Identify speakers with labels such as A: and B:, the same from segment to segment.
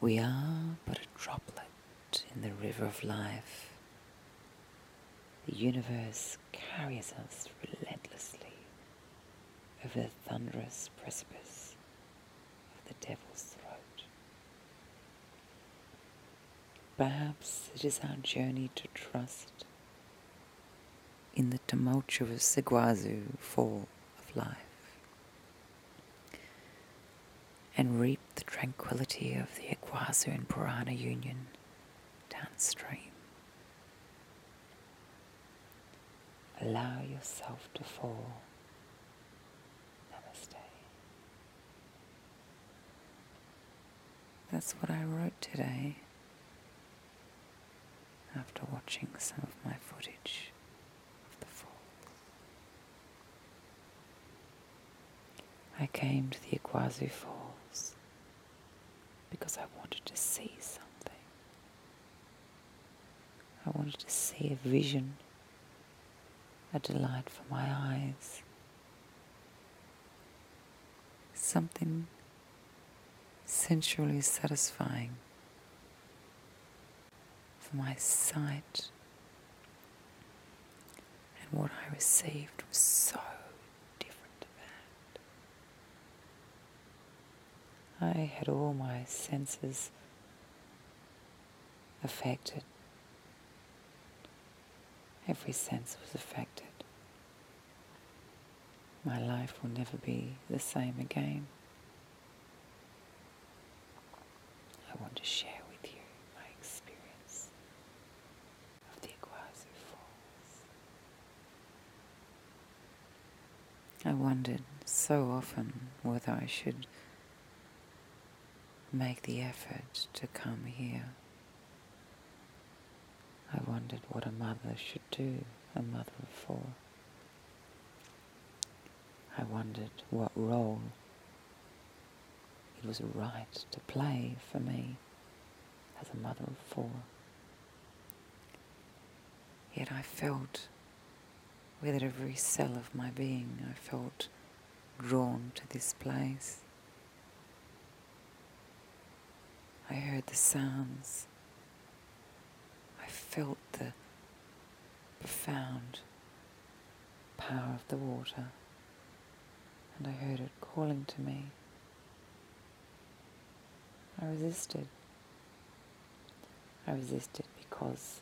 A: We are but a droplet in the river of life. The universe carries us relentlessly over the thunderous precipice of the devil's throat. Perhaps it is our journey to trust in the tumultuous iguazu fall of life and reap the tranquility of the Iguazu and Purana union downstream. Allow yourself to fall. Namaste. That's what I wrote today after watching some of my footage of the falls. I came to the Iguazu Falls because I wanted to see something. I wanted to see a vision, a delight for my eyes, something sensually satisfying for my sight. And what I received was so different to that. I had all my senses affected. Every sense was affected my life will never be the same again. I want to share with you my experience of the Iguazu Falls. I wondered so often whether I should make the effort to come here. I wondered what a mother should should a mother of four. I wondered what role it was right to play for me as a mother of four. Yet I felt, with every cell of my being, I felt drawn to this place. I heard the sounds. I felt the profound power of the water. And I heard it calling to me. I resisted. I resisted because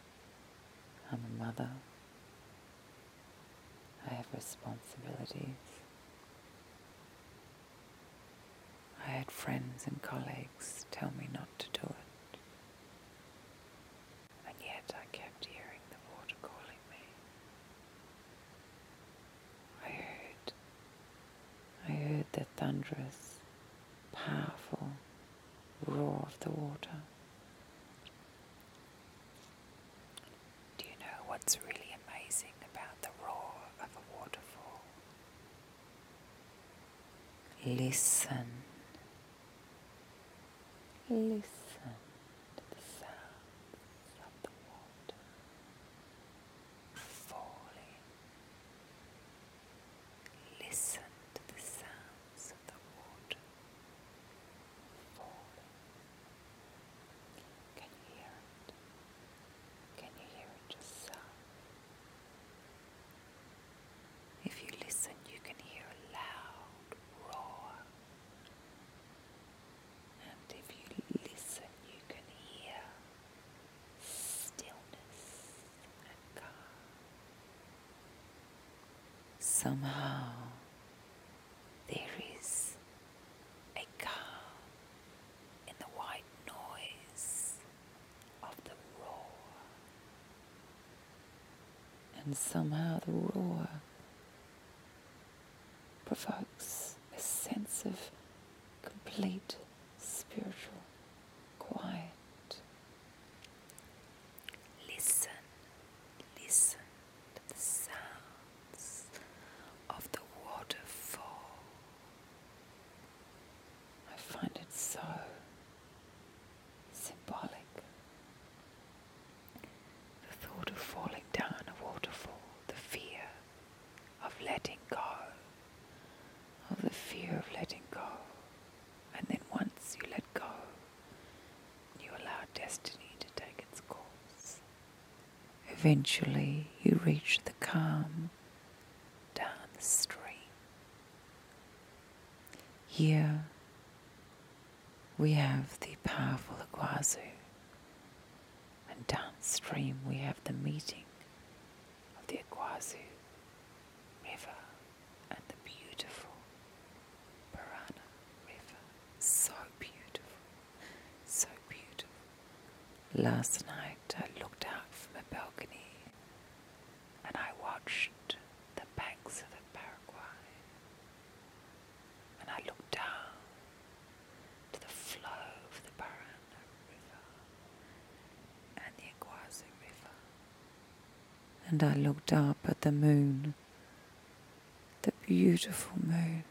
A: I'm a mother. I have responsibilities. I had friends and colleagues tell me not to do it. And yet I kept hearing the water calling me. I heard, I heard the thunderous, powerful roar of the water. Do you know what's really amazing about the roar of a waterfall? Listen. Listen to the sound of the water falling. Listen to the sounds of the water falling. Can you hear it? Can you hear it just If you listen, you can hear a loud roar. And if you listen, you can hear stillness and calm. Somehow, there is a calm in the white noise of the roar. And somehow the roar provokes a sense of complete spiritual quiet. Listen, listen to the sounds of the waterfall I find it so symbolic. The thought of falling down a waterfall, the fear of letting go, of the fear of letting go. And then once you let go, you allow destiny to take its course. Eventually, you reach the calm down the stream. Here, we have the powerful Iguazu, and downstream, we have the meeting of the Iguazu River and the beautiful Parana River. So beautiful, so beautiful. Last night I looked out from a balcony and I watched the banks of the Paraguay and I looked down to the flow of the Paraná River and the Iguazu River and I looked up at the moon, the beautiful moon.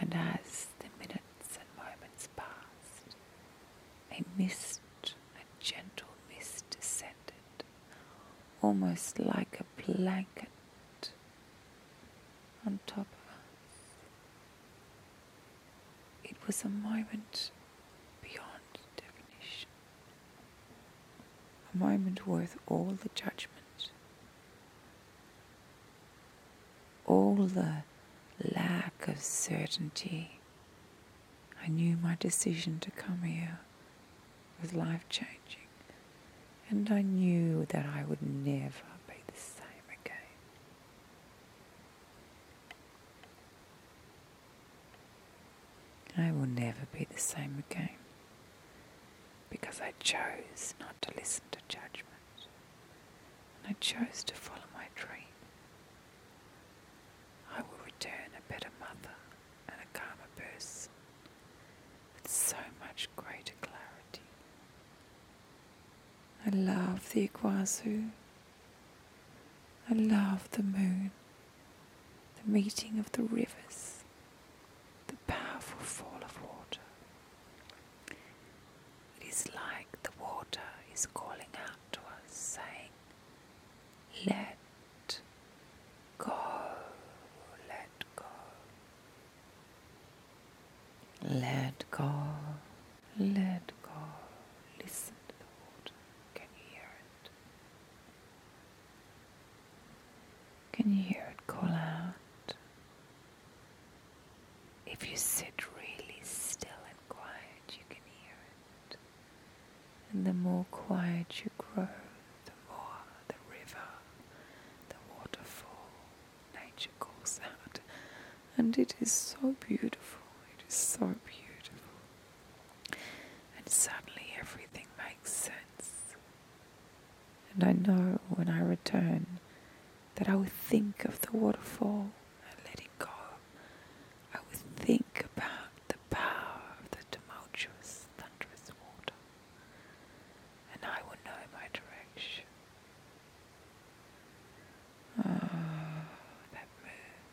A: And as the minutes and moments passed, a mist, a gentle mist, descended, almost like a blanket on top of us. It was a moment beyond definition, a moment worth all the judgment all the lack of certainty, I knew my decision to come here was life changing. And I knew that I would never be the same again. I will never be the same again because I chose not to listen to judgment and I chose to follow my dream. I will return a better mother and a calmer person with so much greater clarity. I love the iguazu. I love the moon, the meeting of the rivers the powerful fall of water. It is like the water is calling out to us, saying, Let go, let go, let go, let go. Listen to the water. Can you hear it? Can you hear it call out? If you sit really still and quiet, you can hear it. And the more quiet you grow, the more the river, the waterfall, nature calls out. And it is so beautiful, it is so beautiful. And suddenly everything makes sense. And I know when I return that I will think of the waterfall and let it go. I will think about the power of the tumultuous, thunderous water. And I will know my direction. Oh, that moon.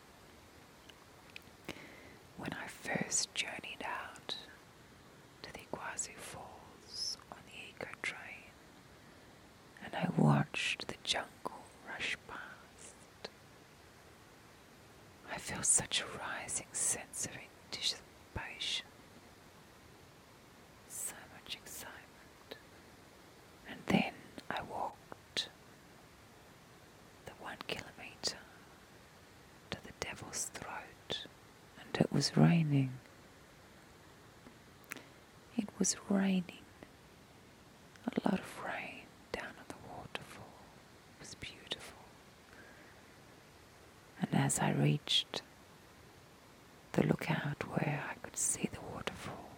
A: When I first journeyed out, to the Iguazu Falls on the Eco train, and I watched the jungle rush past. I felt such a rising sense of anticipation, so much excitement, and then I walked the one kilometre to the devil's throat, and it was raining. It was raining, a lot of rain down at the waterfall. It was beautiful. And as I reached the lookout where I could see the waterfall,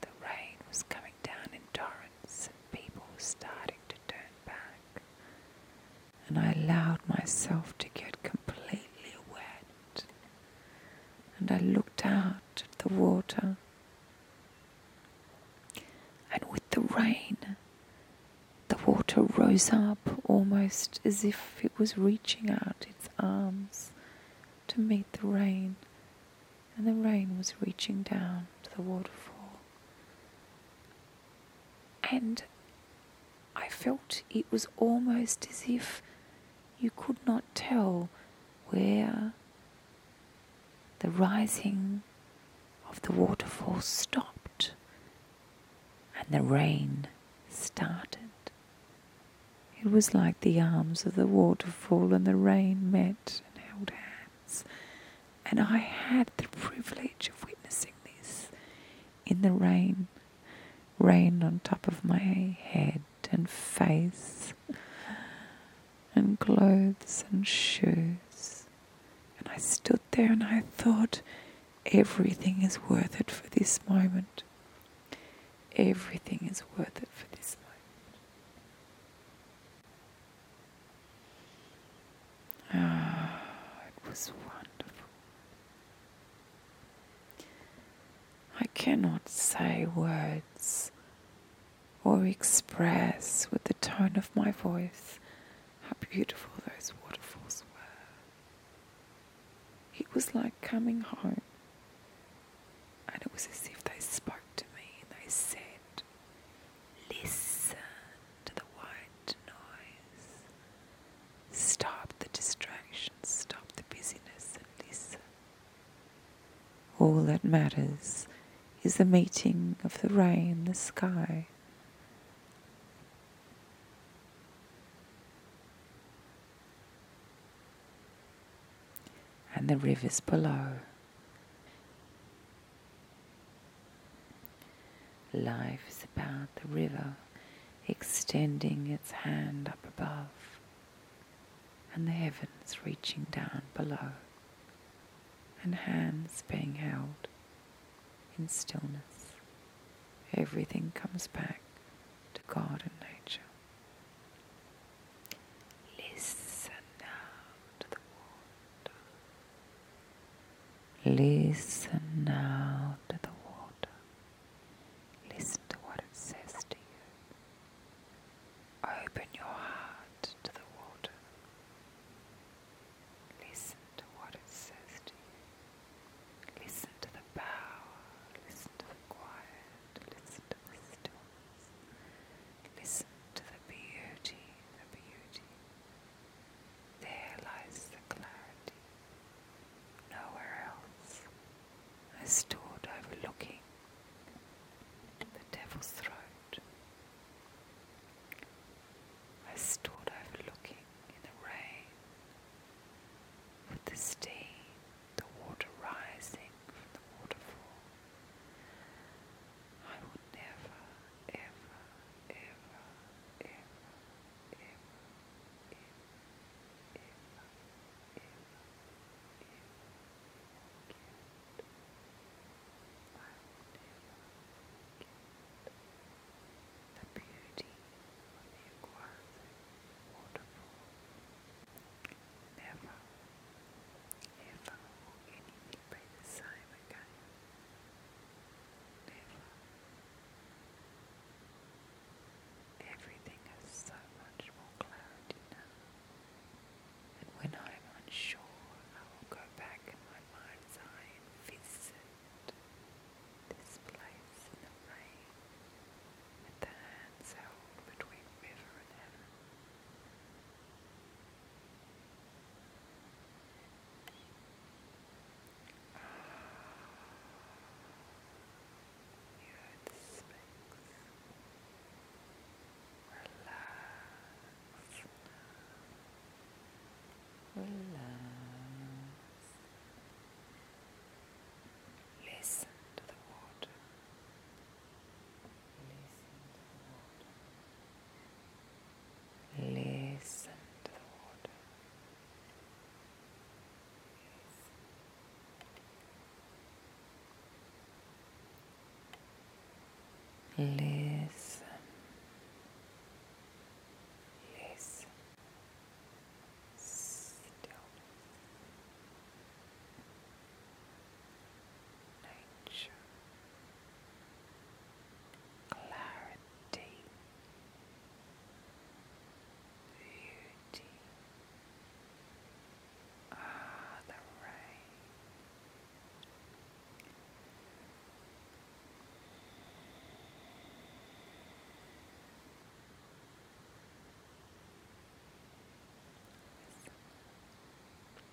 A: the rain was coming down in torrents, and people were starting to turn back and I allowed myself to get completely wet. And I looked out at the water. And with the rain, the water rose up almost as if it was reaching out its arms to meet the rain. And the rain was reaching down to the waterfall. And I felt it was almost as if you could not tell where the rising of the waterfall stopped and the rain started. It was like the arms of the waterfall and the rain met and held hands and I had the privilege of witnessing this in the rain, rain on top of my head and face, and clothes and shoes. And I stood there and I thought, everything is worth it for this moment. Everything is worth it for this moment. Ah, it was wonderful. I cannot say words or express with the tone of my voice how beautiful those waterfalls were. It was like coming home, and it was as if they spoke to me and they said, Listen to the white noise. Stop the distractions, stop the busyness, and listen. All that matters is the meeting of the rain, the sky. And the rivers below. Life is about the river extending its hand up above and the heavens reaching down below and hands being held in stillness. Everything comes back to God and nature. Listen now to the water. Listen now to the water. Listen to what it says to you. Open your heart to the water. Listen to what it says to you. Listen to the power. Listen to the quiet. Listen to the stillness. Listen to the beauty, the beauty, there lies the clarity. Nowhere else. I stood overlooking the devil's throat. I stood overlooking in the rain, with the steam, the water rising from the waterfall. I would never ever, ever, ever, ever, ever, ever, ever, ever the beauty of the Iguazu waterfall. Never, ever anything be the same again. Never. Everything has so much more clarity now. And when I'm unsure, I will go back in my mind's eye and visit this place in the rain with the hands held between river and heaven you the space. Relax. Relax. Listen to the water. Listen to the water. Listen to the water. Listen. Listen. Still. Nature clarity, beauty. Ah, the rain.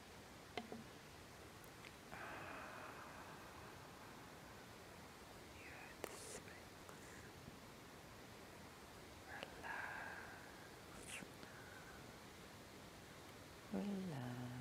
A: Earth Relax. Relax. Relax.